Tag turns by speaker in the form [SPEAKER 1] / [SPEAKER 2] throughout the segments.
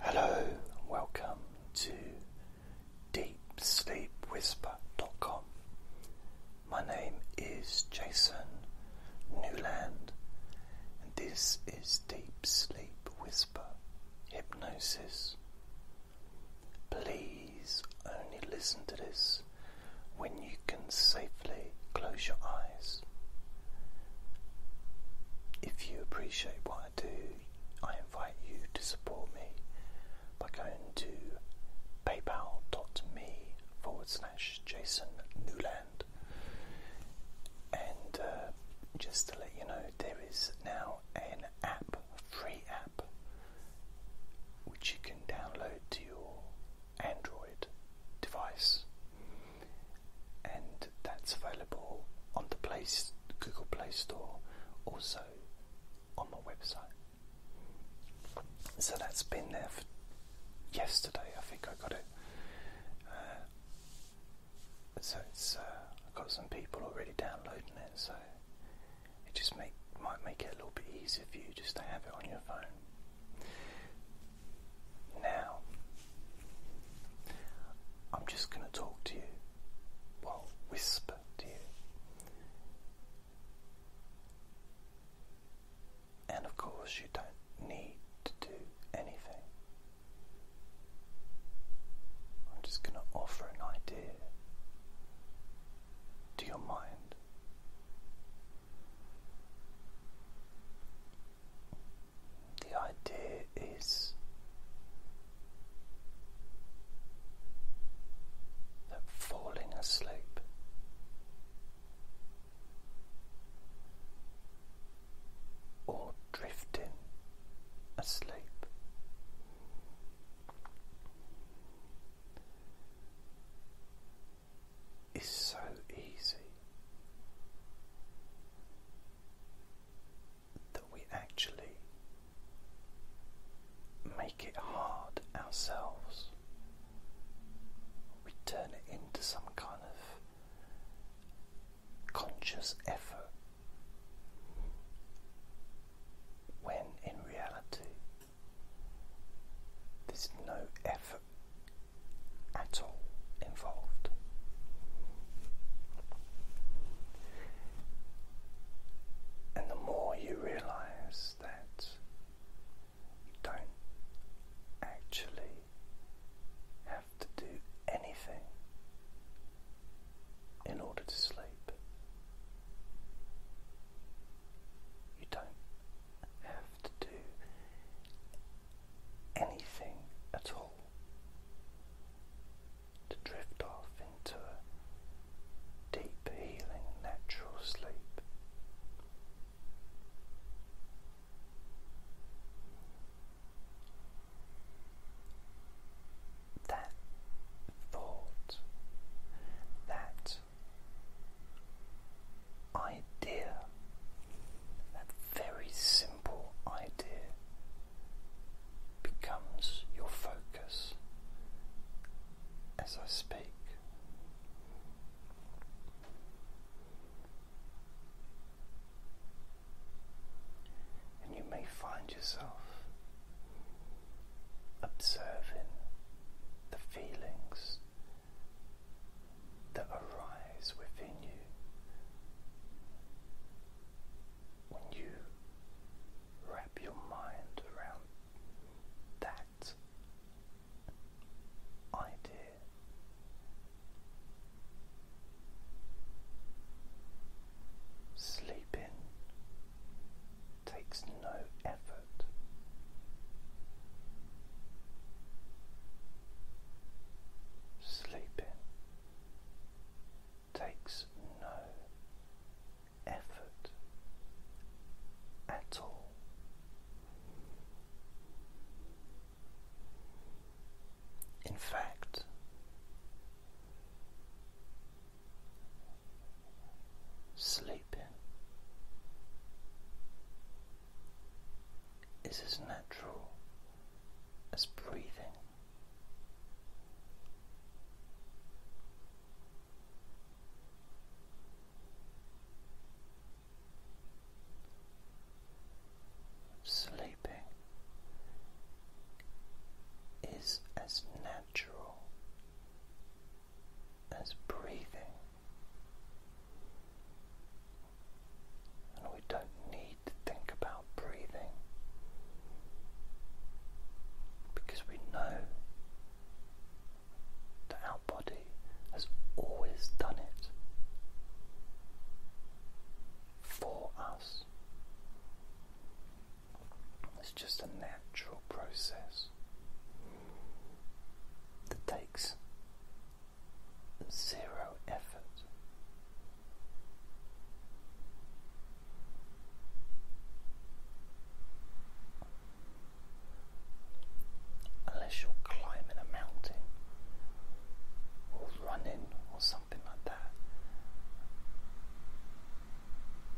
[SPEAKER 1] Hello, welcome to DeepSleepWhisper.com. My name is Jason Newland, and this is Deep Sleep Whisper Hypnosis. Please only listen to this when you can safely close your eyes. If you appreciate what I invite you to support me by going to paypal.me forward slash Jason Newland. And uh, just to let you know, there is now an app, free app, which you can download to your Android device and that's available on the Play, Google Play Store, also on my website. So that's been there for yesterday. I think I got it. Uh, so it's uh, got some people already downloading it, so it just might make it a little bit easier for you just to have it on your phone. Now, I'm just going to talk to you, well, whisper to you. And of course, you don't need to do anything. I'm just going to offer an idea to your mind the idea is that falling asleep or drifting asleep is so easy that we actually make it hard ourselves. We turn it into some kind of conscious effort when in reality there's no effort at all involved. And the more you realize that you don't actually have to do anything in order to sleep, you don't have to do anything at all, to drift off into deep, healing, natural sleep. That thought, that idea, that very simple simple idea becomes your focus as I speak. And you may find yourself observing the feelings that arise within you when you wrap your mind around that idea. Sleeping takes no effort. Sleeping takes no effort at all. In fact, sleeping is as natural as breathing. Sleeping is as natural as breathing and we don't need to think about breathing because we know that our body has always done it for us. It's just a natural process that takes zero effort. Unless you're climbing a mountain or running or something like that.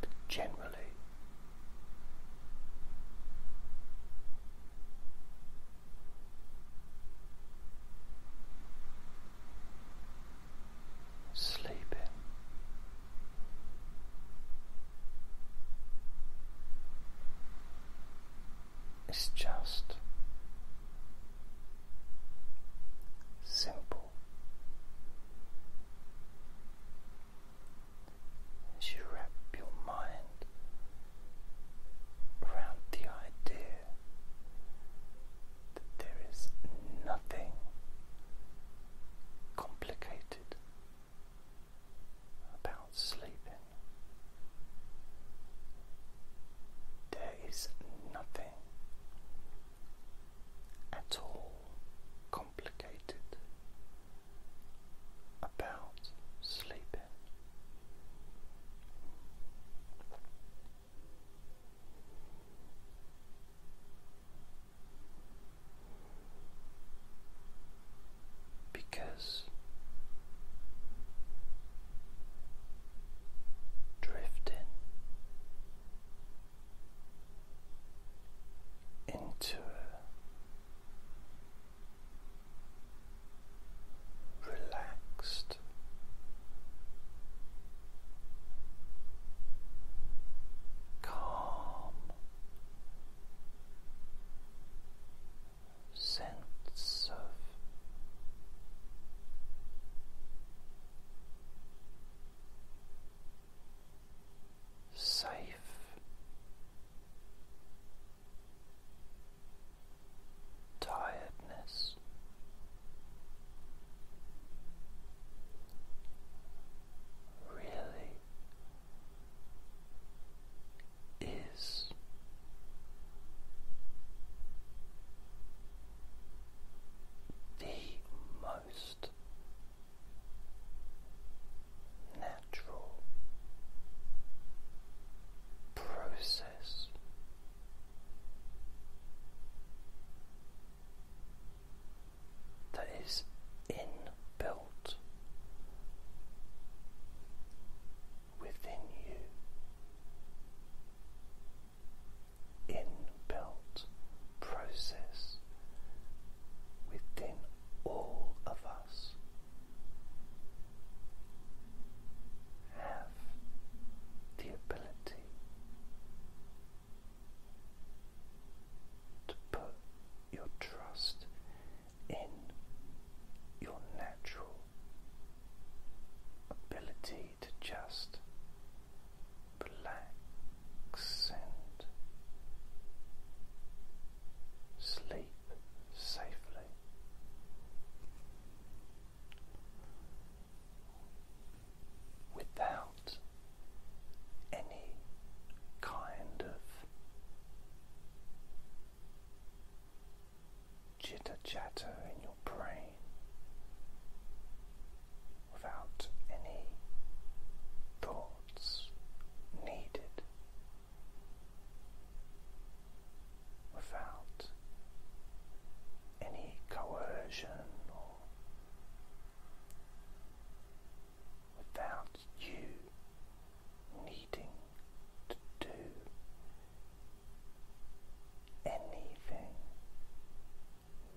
[SPEAKER 1] But generally, sleeping. It's just simple as you wrap your mind around the idea that there is nothing complicated about sleeping. There is nothing at all complicated about sleeping. Because drifting into a relaxed. Calm sense of safe tiredness. Really is the most natural process that is inbuilt within you, inbuilt process within all of us have the ability to put your trust in your natural ability to just relax and sleep safely without any kind of jitter chatter in your brain, without any thoughts needed without any coercion or without you needing to do anything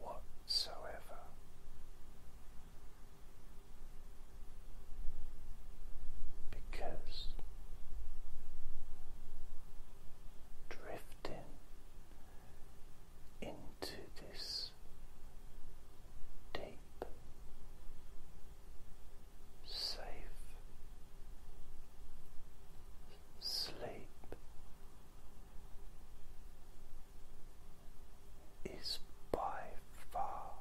[SPEAKER 1] whatsoever. Because drifting into this deep, safe sleep is by far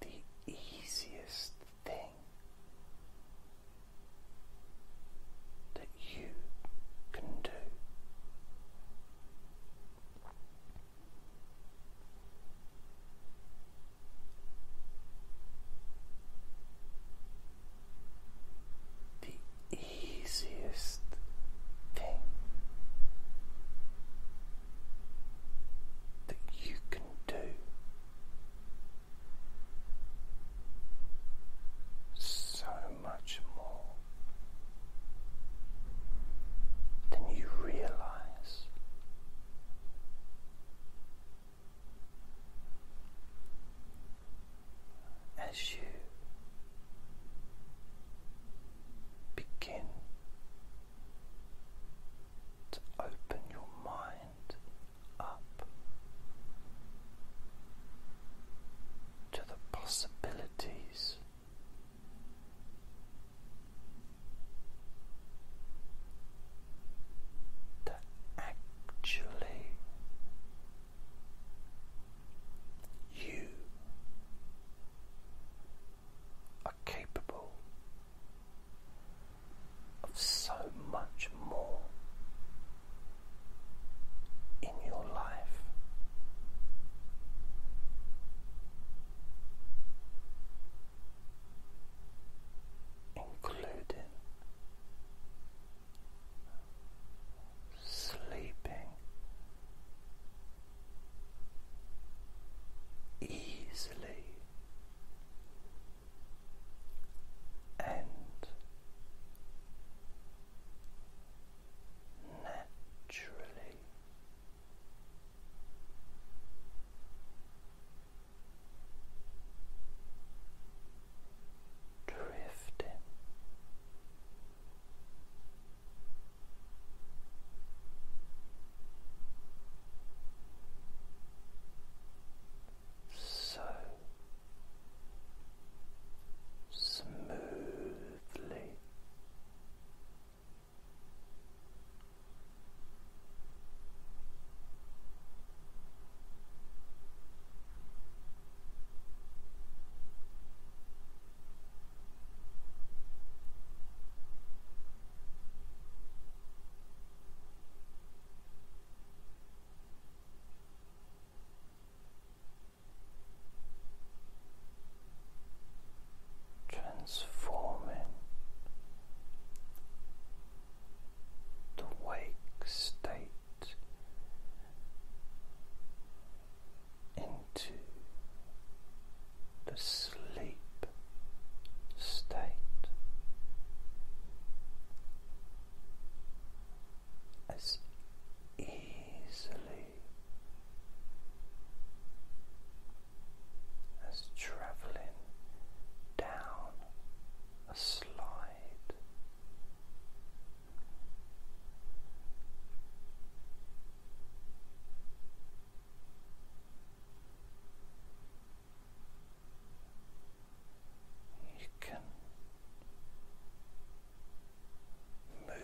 [SPEAKER 1] the easiest thing that you can do. The easiest thing that you can do. So much more than you realize. As you Begin to open your mind up to the possibilities that actually you are capable of so much more in your life. Including sleeping easily and naturally. Drifting so smoothly transforming the wake state into the sleep state. As easily as traveling down a slide you can move.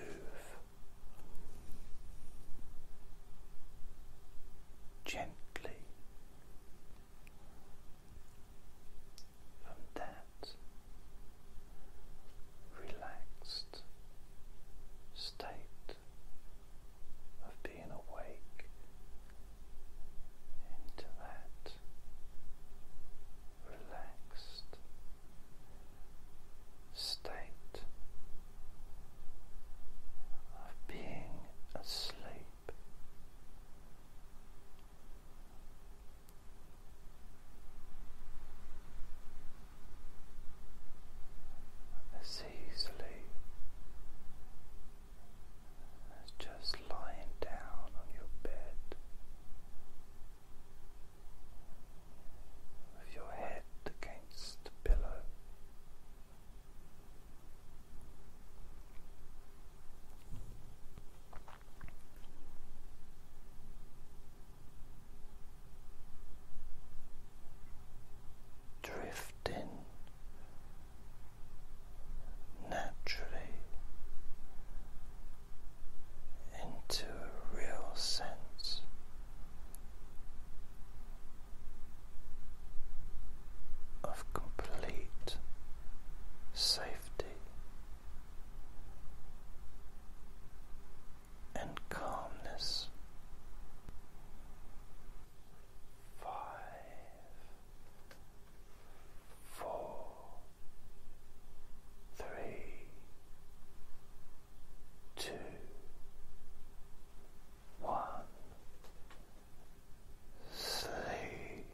[SPEAKER 1] Gently from that relaxed state of being awake into that relaxed state of being asleep as easily as just lying down on your bed with your head against the pillow drifting naturally into a real sense of complete safety and calmness. Five, four, three, two, one, sleep.